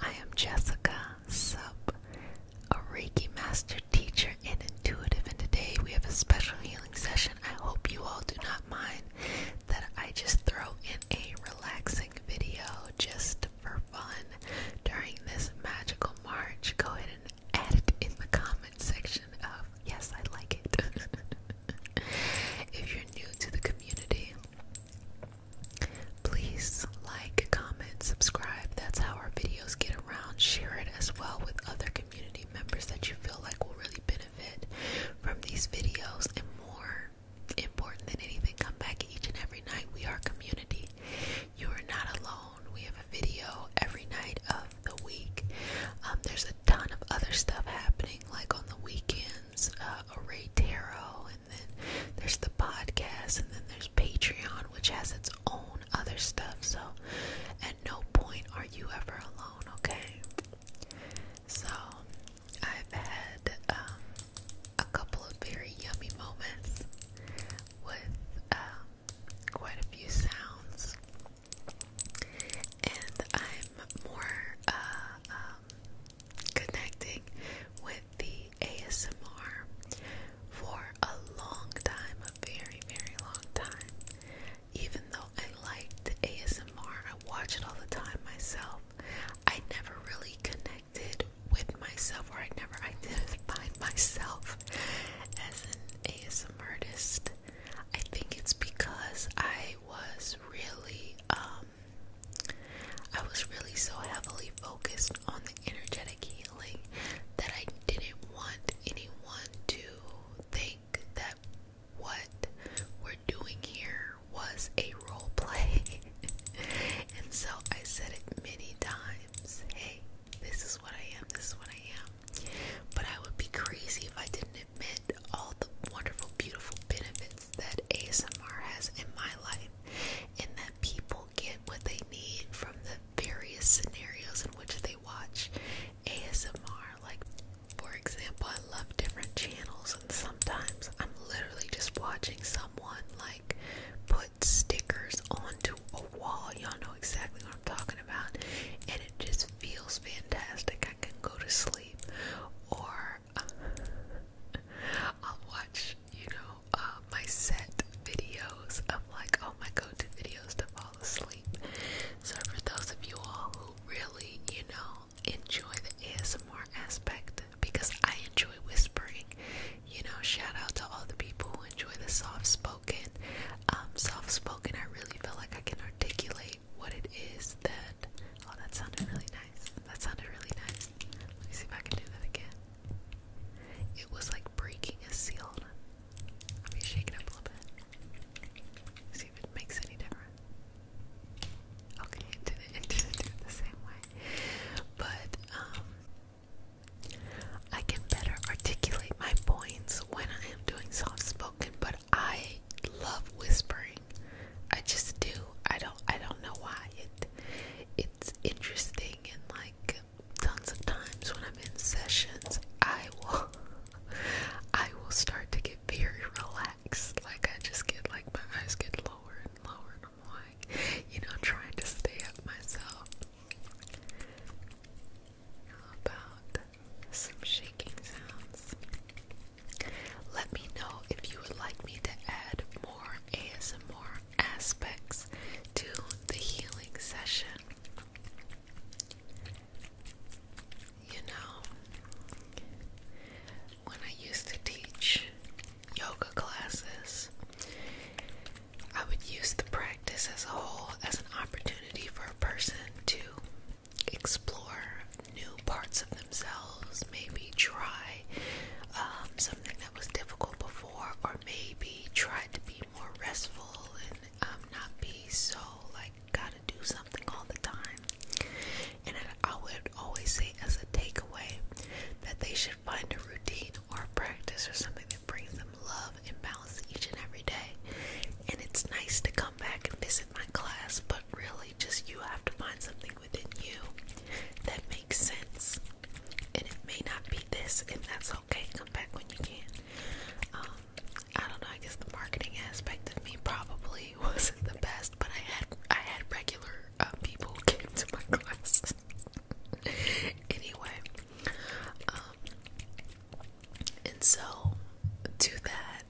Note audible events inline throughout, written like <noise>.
I am Jessica Sub, a Reiki Master Teacher and Intuitive, and today we have a special healing session. I hope you all do not mind that I just throw in a relaxing video just for fun during this magical March. Go ahead and add it in the comment section of yes, I like it. <laughs> if you're new to the community, Please like, comment, subscribe. That's how our videos get around. Share it as well with other community members that you feel like will really benefit from these videos. And more important than anything, come back each and every night. We are community. You are not alone. We have a video every night of the week. Um, there's a ton of other stuff happening, like on the weekends, uh, array tarot then there's the podcast, and then there's Patreon, which has its own other stuff. So, at no point are you ever alone, okay? So, I've had um, a couple of very yummy moments with um, quite a few sounds, and I'm more uh, um, connecting with the ASMR for a long time, a very, very long time. Even though I liked ASMR, I watch it all the time myself. I never really connected with myself, or I never I didn't identified <laughs> myself as an ASMR artist. I think it's because I was really, um, I was really so heavily focused on the energetic healing that I didn't want anyone to think that what we're doing here was a role play. <laughs> and so I said it many times hey, this is what I am, this is what I am. But I would be crazy if I didn't admit all the wonderful, beautiful benefits that ASMR has in my life and that people get what they need from the various scenarios in which they watch ASMR. Like, for example, I love different channels, and sometimes I'm literally just watching someone like put stickers onto a wall. Y'all know exactly what I'm talking about, and it just feels fantastic. I can go to sleep, or <laughs> I'll watch, you know, uh, my set videos of like all my go-to videos to fall asleep. So for those of you all who really, you know, enjoy the ASMR aspect, because I enjoy whispering, you know, shout out to all the people who enjoy the soft-spoken. Um, soft-spoken, I really feel like I can articulate what it is that. Oh, that sounded really nice. That sounded really nice. Let me see if I can do that again. It was like breaking a seal. Let me shake it up a little bit. See if it makes any difference. Okay, it did it the same way. But, um, I can better articulate my points when I am doing soft spoken, but I love whispering. I just do. I don't I don't know why. It it's interesting and like tons of times when I'm in sessions I will <laughs> I will start to get very relaxed. Like I just get like my eyes get lower and lower and I'm like, you know, trying to stay up myself. How about some shaking sounds? Let me know if you would like me to add more ASMR aspects to the healing session. You know, when I used to teach yoga classes, I would use the practice as a whole as an opportunity for a person to explore new parts of themselves, maybe try um, something that was difficult before, or maybe try to be more restful and um, not be so like gotta do something all the time. And I would always say, as a takeaway, that they should find a routine or a practice or something that brings them love and balance each and every day. And it's nice to come back and visit my class, but really, just you have to find something within you that makes sense and it may not be this, and that's okay. Come back when you can. Um, I don't know. I guess the marketing aspect of me probably <laughs> wasn't the best, but I had I had regular uh, people <laughs> came to my class. <laughs> anyway, um, and so to that,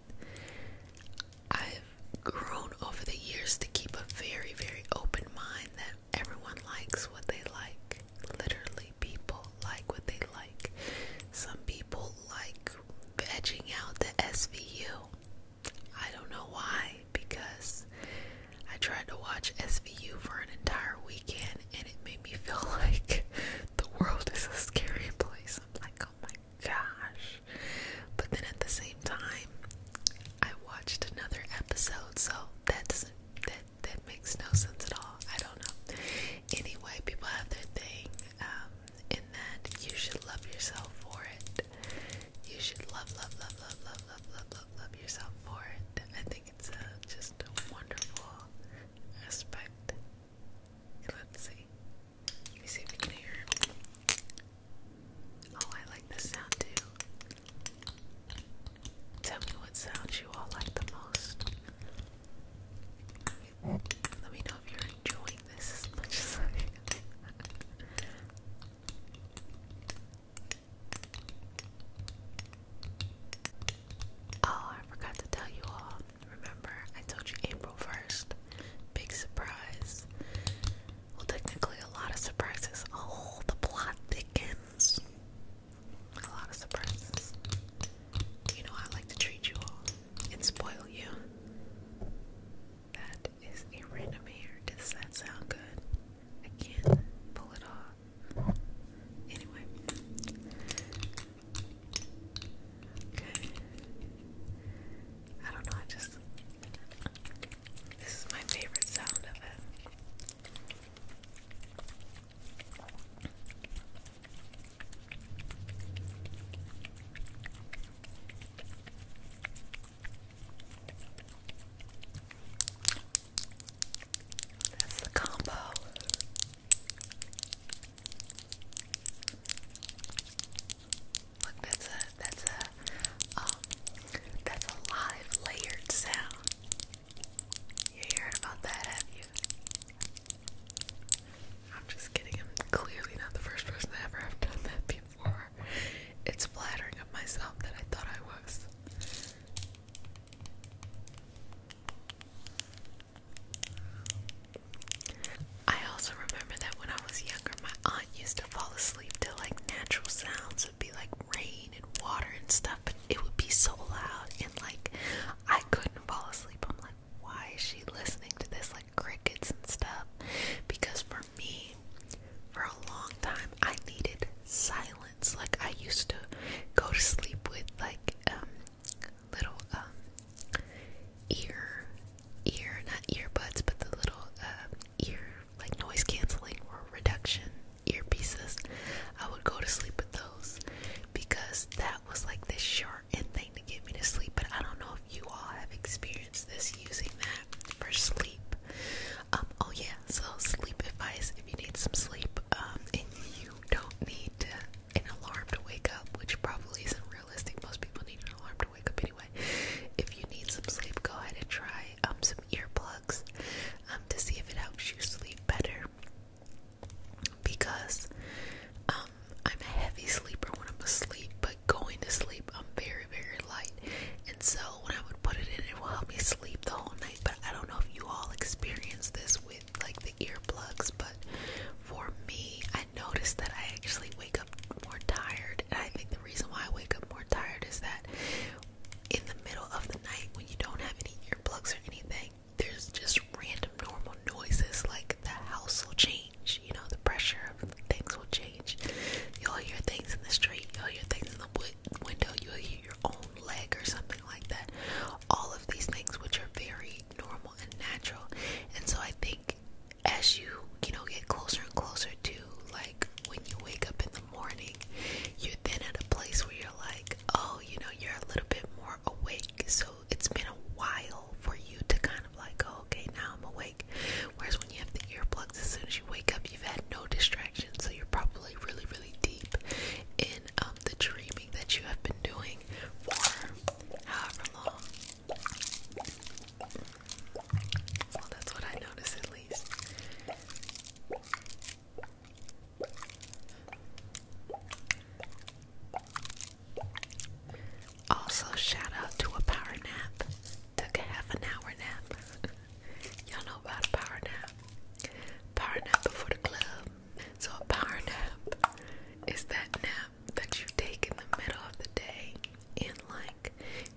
I've grown over the years to keep a very very open mind that everyone likes what they like. Literally, people like what they like. Some people like edging out the SVU. I don't know why, because I tried to watch SVU for an entire weekend and it made me <laughs> feel like the world is a scary place. I'm like, oh my gosh. But then at the same time, I watched another episode, so that doesn't that that makes no sense at all. I don't know. Anyway, people have their thing, um, and that you should love yourself for it. You should love, love, love, love, love, love, love, love, love yourself for it. I think it's a, just a wonderful aspect. Let's see. Let me see if you can hear. Oh, I like this sound too. Tell me what sounds you all like the most. Let me know if you're enjoying this as much as I am. Oh, I forgot to tell you all. Remember, I told you April 1st. Big surprise. Well, technically, a lot of surprises. Oh, the plot thickens. A lot of surprises. You know, I like to treat you all and spoil you. That is a random hair. Does that sound good? I can't pull it off. Anyway. Okay. I don't know, I just. This is my favorite sound of it. That's the combo. Look, that's a that's a um that's a live layered sound. You heard about that, have you? I'm just kidding. I'm clearly not the first person to ever have done that before. It's flattering of myself that I thought I was. I also remember that when I was younger, my aunt used to fall asleep to like natural sounds. would be like rain and water and stuff, but it would be so loud and like I couldn't fall asleep. I'm like, why is she listening to this? Like crickets and stuff. Because for me, for a long time, I needed silence. Like I used to go to sleep with like um little um ear ear not earbuds but the little uh ear like noise canceling or reduction earpieces, I would go to sleep with those because that was like this short end thing to get me to sleep. But I don't know if you all have experienced this using that for sleep. Um, oh, yeah, so sleep advice if you need some sleep um, and you don't need an alarm to wake up, which probably isn't realistic. Most people need an alarm to wake up anyway. If you need some sleep, go ahead and try um, some earplugs. Um, to see if it helps you sleep better. Because um, I'm a heavy sleeper when I'm asleep, but going to sleep, I'm very, very light. And so when I would put it in, it will help me sleep the whole night. But I don't know if you all experience this with like the earplugs, but for me, I noticed that I actually wake up more tired. And I think the reason why I wake up more tired is that in the middle of the night when you don't have any earplugs or anything, there's just random normal noises like the house will change, you know, the pressure of things will change. You'll hear things in the street, you'll hear things in the wood window, you'll hear your own leg or something like that. All of these things which are very normal and natural. And so I think as you, you know, get closer and closer to like when you wake up in morning, you're then at a place where you're like, oh, you know, you're a little bit more awake. So it's been a while for you to kind of like, oh, okay, now I'm awake. Whereas when you have the earplugs, as soon as you wake up, you've had no distractions. So you're probably really, really deep in um, the dreaming that you have been doing for however long. Well, that's what I noticed at least. Also, shout out to a power nap. Took a half an hour nap. <laughs> Y'all know about a power nap. Power nap before the club. So, a power nap is that nap that you take in the middle of the day and, like,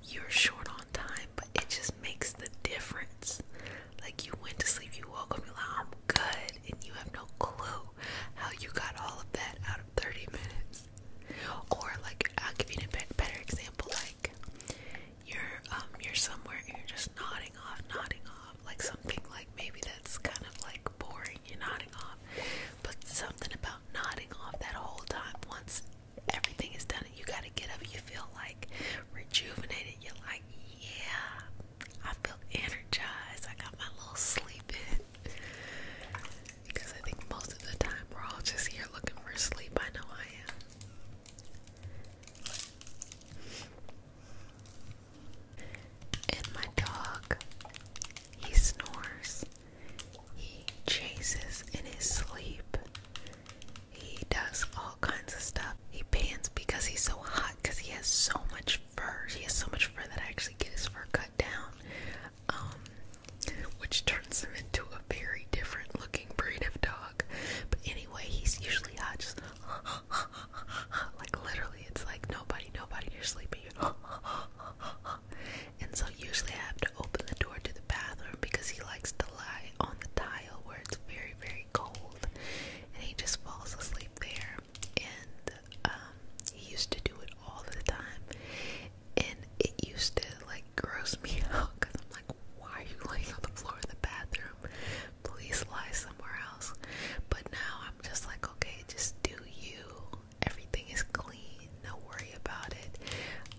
you're short on time but it just makes the difference. Like you went to sleep, you woke up, you're like, I'm good, and you have no clue how you got all of that out of 30 minutes. Or like, I'll give you a better example. Like you're um you're somewhere and you're just nodding off, nodding off, like something like maybe that's kind of like boring. You're nodding off, but something about nodding off that whole time once everything is done and you gotta get up you feel like rejuvenated you're yeah, I feel energized. I got my little sleep in. Because I think most of the time we're all just here looking for sleep. I know I am. And my dog, he snores. He chases in his sleep. He does all kinds of stuff. He pants because he's so hot because he has so much fur. He has so much fur that I actually get his fur cut down, um, which turns him into a very different looking breed of dog. But anyway, he's usually hot, just <laughs> like literally, it's like nobody, nobody, you're sleeping. <laughs> and so usually I have to open the door to the bathroom because he likes to lie on the tile where it's very, very cold, and he just falls asleep there. And um, he used to do it all the time, and it used to like gross me <laughs> out because I'm like, why are you laying on the floor in the bathroom? Please lie somewhere else. But now I'm just like, okay, just do you. Everything is clean. No worry about it.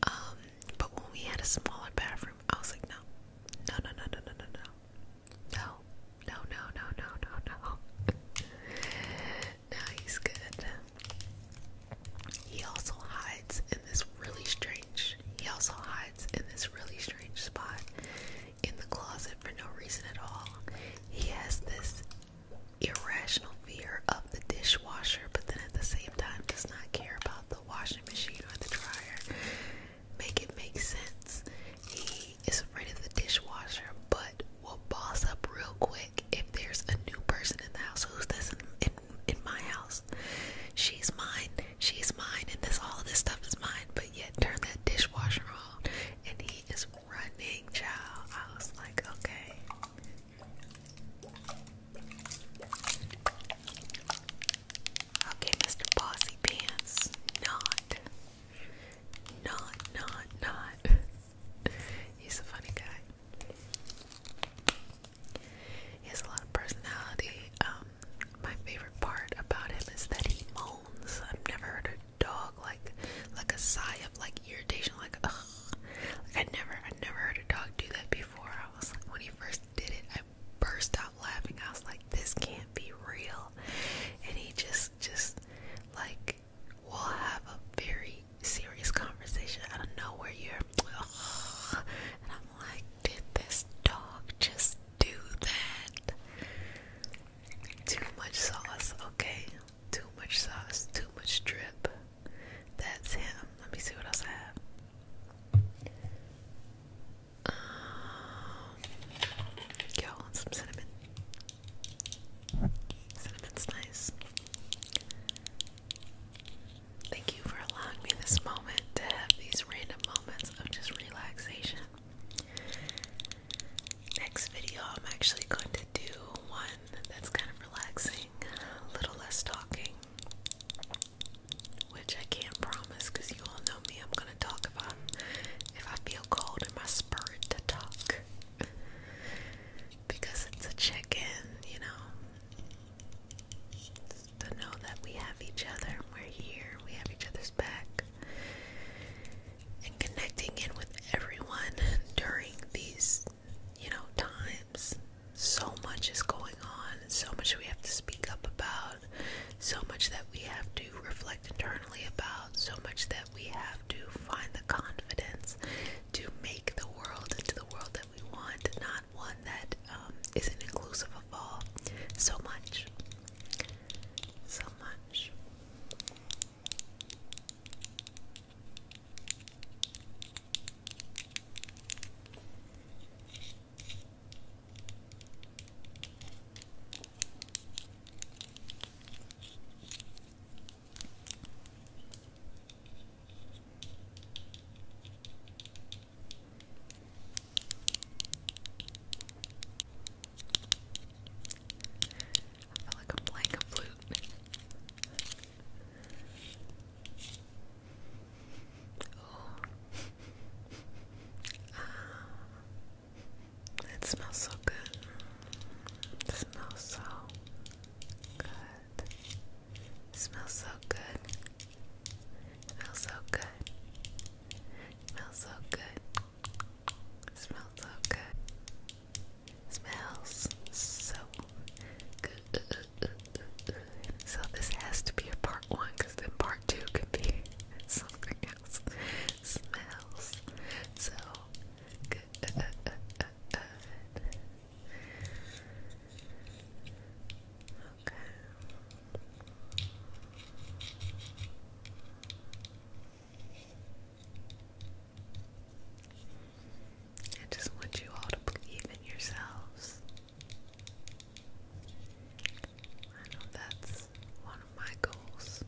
Um, but when we had a smaller bathroom, I was like, no, no, no, no, no, no, no, no. No, no, no, no, no, no, now <laughs> he's good. He also hides in this really strange. He also hides in this really strange spot in the closet for no reason at all. He has this irrational fear of the dishwasher, but then at the same time does not care about the washing machine or the dryer make it make sense. He is afraid of the dishwasher, but will boss up real quick if there's a new person in the house. Who's this in, in, my house? She's mine. She's mine. And this all of this stuff is mine. But yet, turn that dishwasher off, and he is running, child. I was like, okay. Okay, Mr. Bossy Pants. Not. Not, not, not. <laughs> He's a funny guy. He has a lot of personality. Um, my favorite part about him is that he moans. I've never heard a dog like like a sigh of like irritation, like ugh. Like I never, I never heard a dog do that before. I was like, when he first did it, I burst out laughing. I was like, this can't be real. And he just, just like, we'll have a very serious conversation out of nowhere. You're, and I'm like, did this dog just do that? Too much sauce, okay? Too much sauce, too much drip. That's him. Let me see what else I have. Um, yo, some cinnamon. Cinnamon's nice. Thank you for allowing me this moment to have these random moments of just relaxation. Next video, I'm actually going to do one that's kind of relaxing, a little less talking, which I can't promise because you all know me. I'm gonna talk about if I feel called in my spirit to talk because it's a check-in, you know, to know that we have each other, we're here, we have each other's back, and connecting in with everyone during these, you know, times. So much is going on so much we have to speak up about, so much that we have to reflect internally about, so much that we have to find the confidence to make the world into the world that we want, not one that um, not inclusive of all. So much. So much. I feel like I'm playing a flute. Oh. It smells so good. smells so good. smells so good. smells so good. smells so good. smells so good. smells so good. So this has to be a part one because then part two could be something else. Smells. So okay. I just want you all to believe in yourselves. I know that's one of my goals.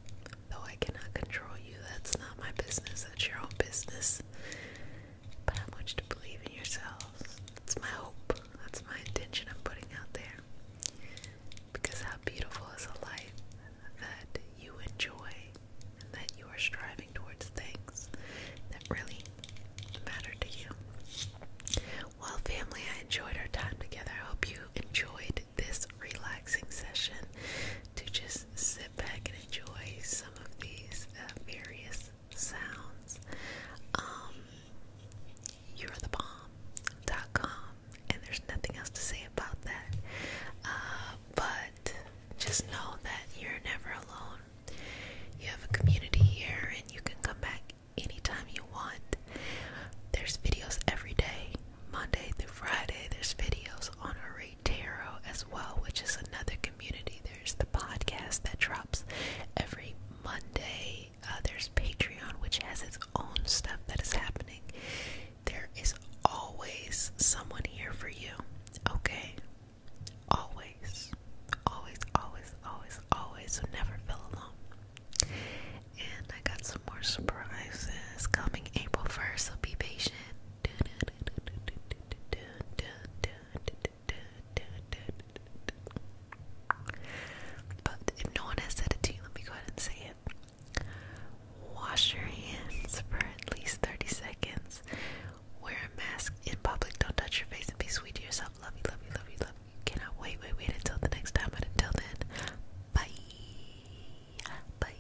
Though I cannot control you, that's not my business, that's your own business. But I want you to believe in yourselves. That's my hope, that's my intention I'm putting out there. Because how beautiful is a life that you enjoy and that you are striving towards things that really matter to you. Well, family, I enjoyed our time together. I hope you enjoyed this relaxing session to just sit back and enjoy some of these uh, various sounds. Um, you're the bomb.com, and there's nothing else to say about that. Uh, but just know that you're never alone. You have a community here, and you can come back anytime you want. There's videos every day, Monday through Friday. There's videos on Array Tarot as well, which is another community. There's the podcast that drops every Monday. Uh, there's Patreon, which has its own stuff that is happening. There is always someone here for you, okay? Always, always, always, always, always. So never feel alone. And I got some more surprises coming April 1st, so be patient. But if no one has said it to you, let me go ahead and say it. Wash your hands for at least 30 seconds. Wear a mask in public. Don't touch your face and be sweet to yourself. Love you, love you, love you, love cannot wait, wait, wait until the next time. But until then, bye. Bye.